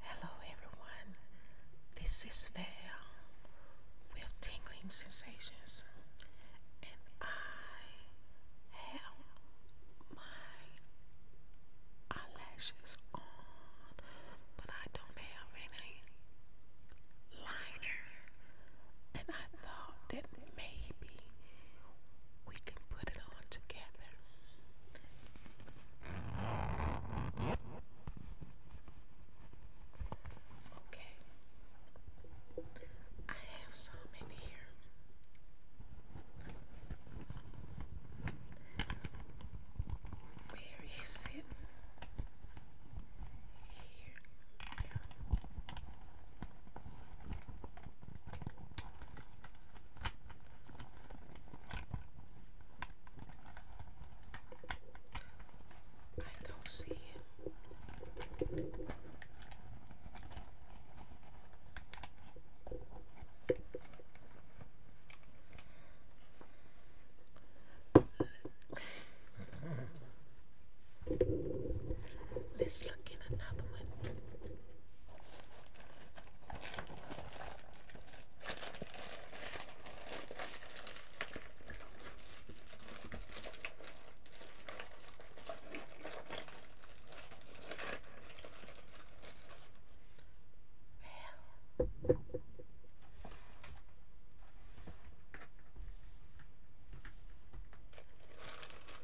Hello everyone, this is Val with Tingling Sensations and I have my eyelashes on but I don't have any liner and I thought that maybe we can put it on together Okay. I have some in here. Where is it? Here. Yeah. I don't see it. Let's look in another one. Well.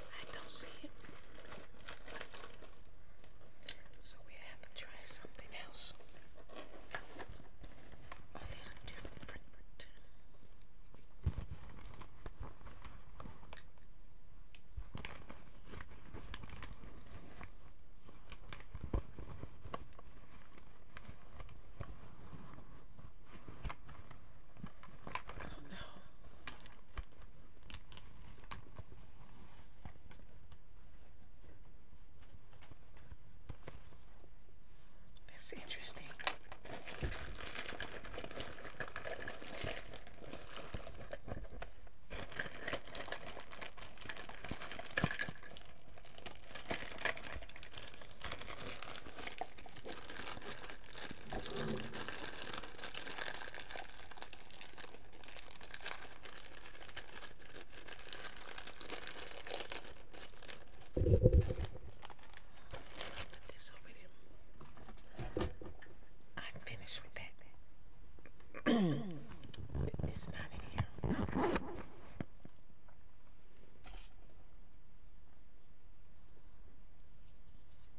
I don't see it. So we have to try something else. A oh, little different. I don't know. That's interesting. This over there. I'm finished with that. it's not in here.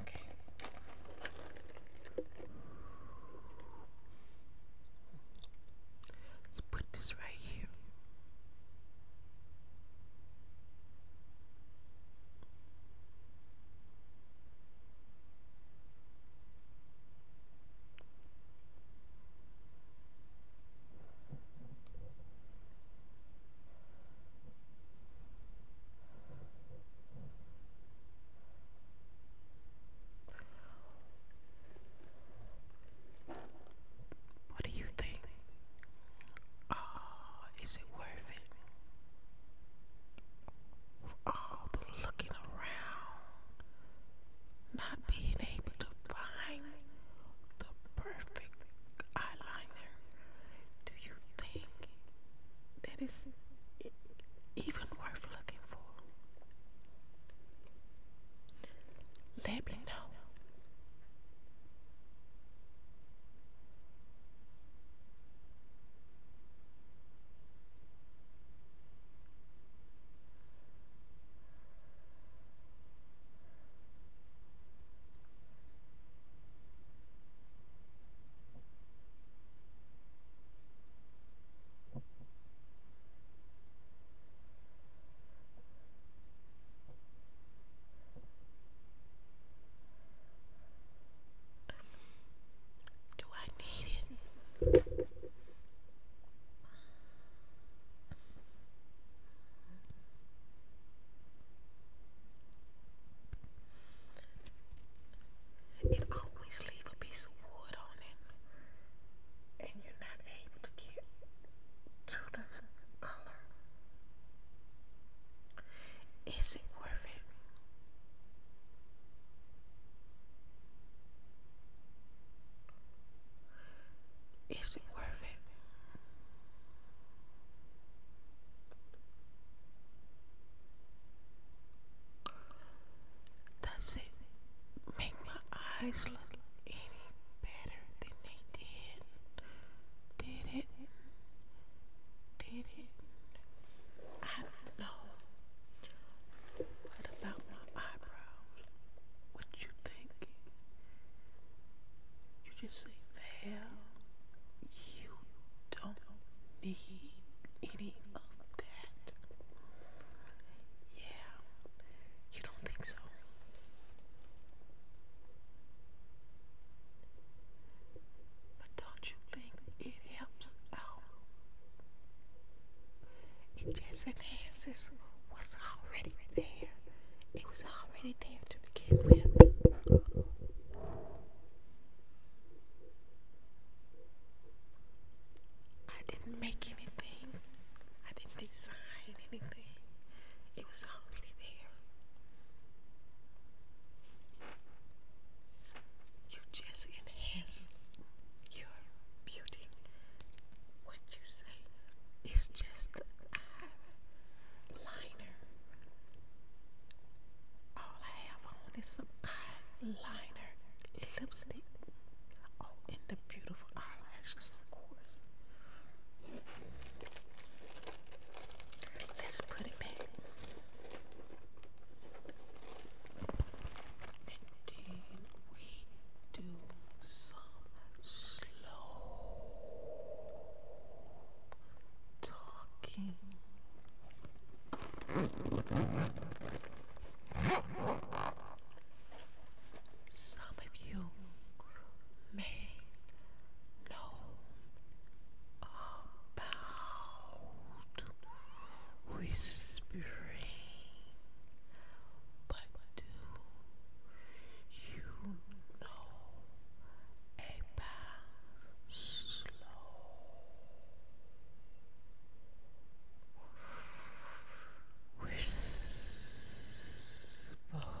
Okay. Let's put this right here. What do you think? Ah, uh, is it worth it? For all the looking around, not being able to find the perfect eyeliner, do you think that is even worth looking for? Let me know. Do I need it? And always leave a piece of wood on it, and you're not able to get to the color. Is it worth it? Is it worth it? Does it make my eyes look any better than they did? Did it? Did it? I don't know. What about my eyebrows? What you think? thinking. You just say hell. You don't need any of that. Yeah. You don't think so? But don't you think it helps out? And It just enhances was already there. It was already there to begin with. I didn't make anything. I didn't design anything. It was already there. You just enhance your beauty. What you say is just the eyeliner. All I have on is some eyeliner, lipstick, oh, and the beautiful eyelashes, of course. Let's put it back. Then we do some slow talking. Some of you may know about whispering, but like, do you know about slow whispering? Slow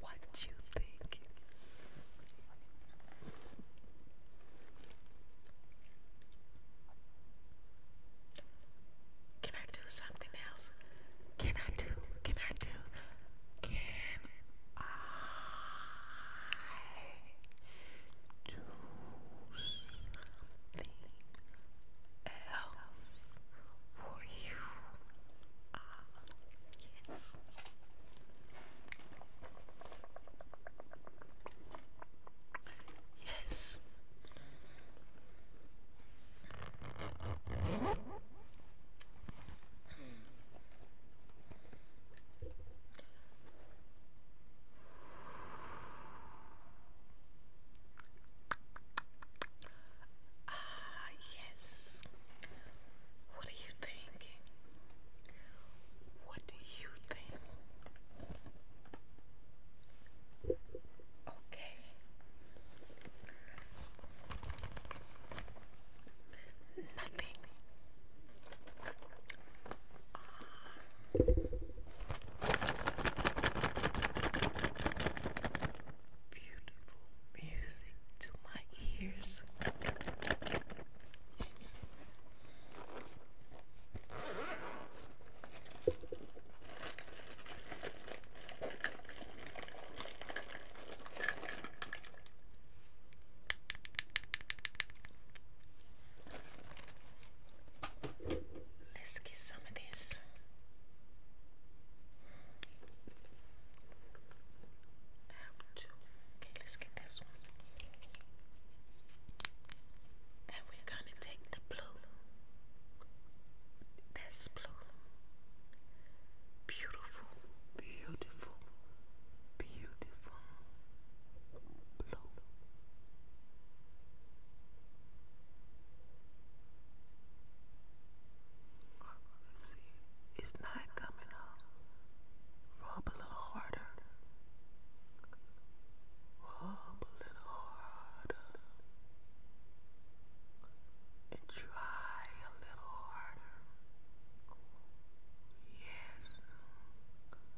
what you think? Can I do something else? Can I do? Can I do? Can I do else for you. Ah, yes. Yes. Hmm. Ah, yes. What are you thinking? What do you think? Okay. Nothing. Beautiful music to my ears. Yes. Let's get some of this. Have two. Okay, let's get this one. And we're gonna take the blue. That's blue. Beautiful, beautiful, beautiful, blow. See, it's not coming up. Rub a little harder. Rub a little harder. And try a little harder. Yes.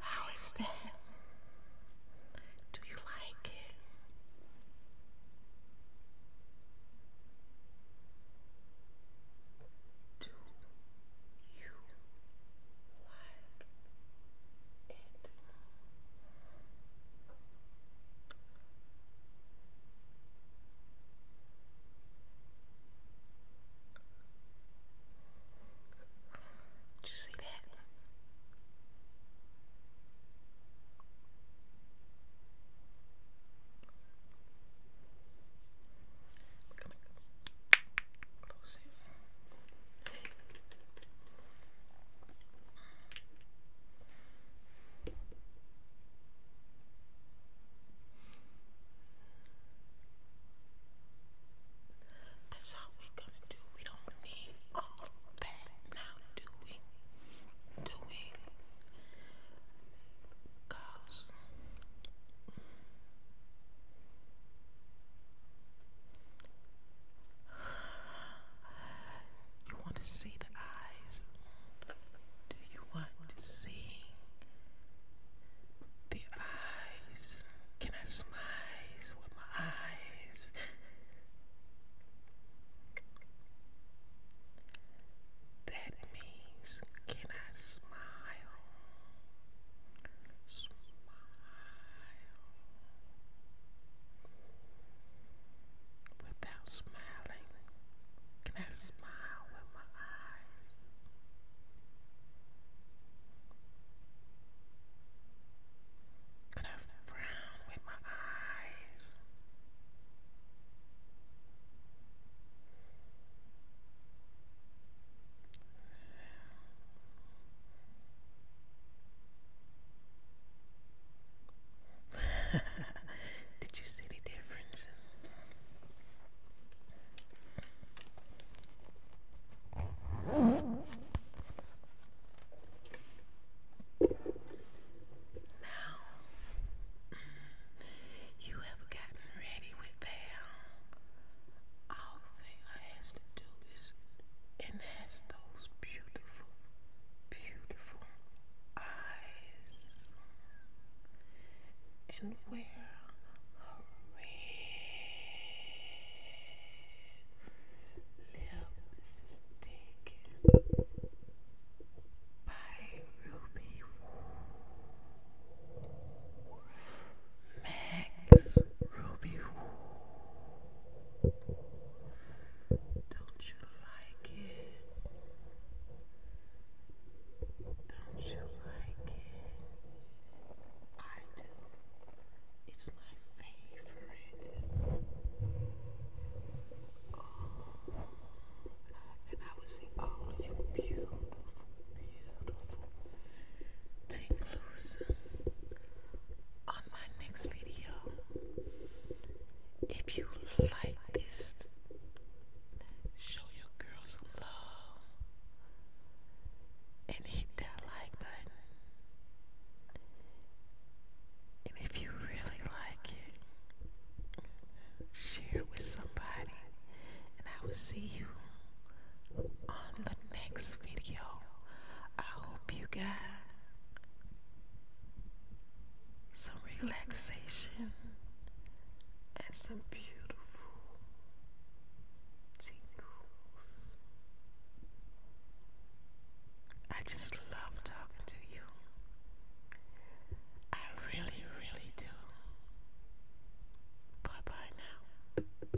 How is that? Do you like it? Do you like it. you see that? We're close it. That's all we're gonna do. We don't need all that now, do we? Do we? Cause you want to see the eyes? Do you want to see the eyes? Can I slice with my eyes? That means, can I Smile smile without smiling? Can I smile with my eyes? Can I frown with my eyes? Did you see the difference? Now you have gotten ready with Val. All thing I has to do and has those beautiful, beautiful eyes, and wear her red lipstick by Ruby Woo. Max Ruby Woo. Don't you like it? Don't you like it? I do. It's my favorite. and I would say, oh, you beautiful, beautiful Tinglusa on my next video. If you like this, show your girl some love and hit that like button. And if you really like it, share it with somebody. And I will see you on the next video. I hope you got some relaxation and some beautiful tingles. I just love talking to you. I really, really do. Bye bye now.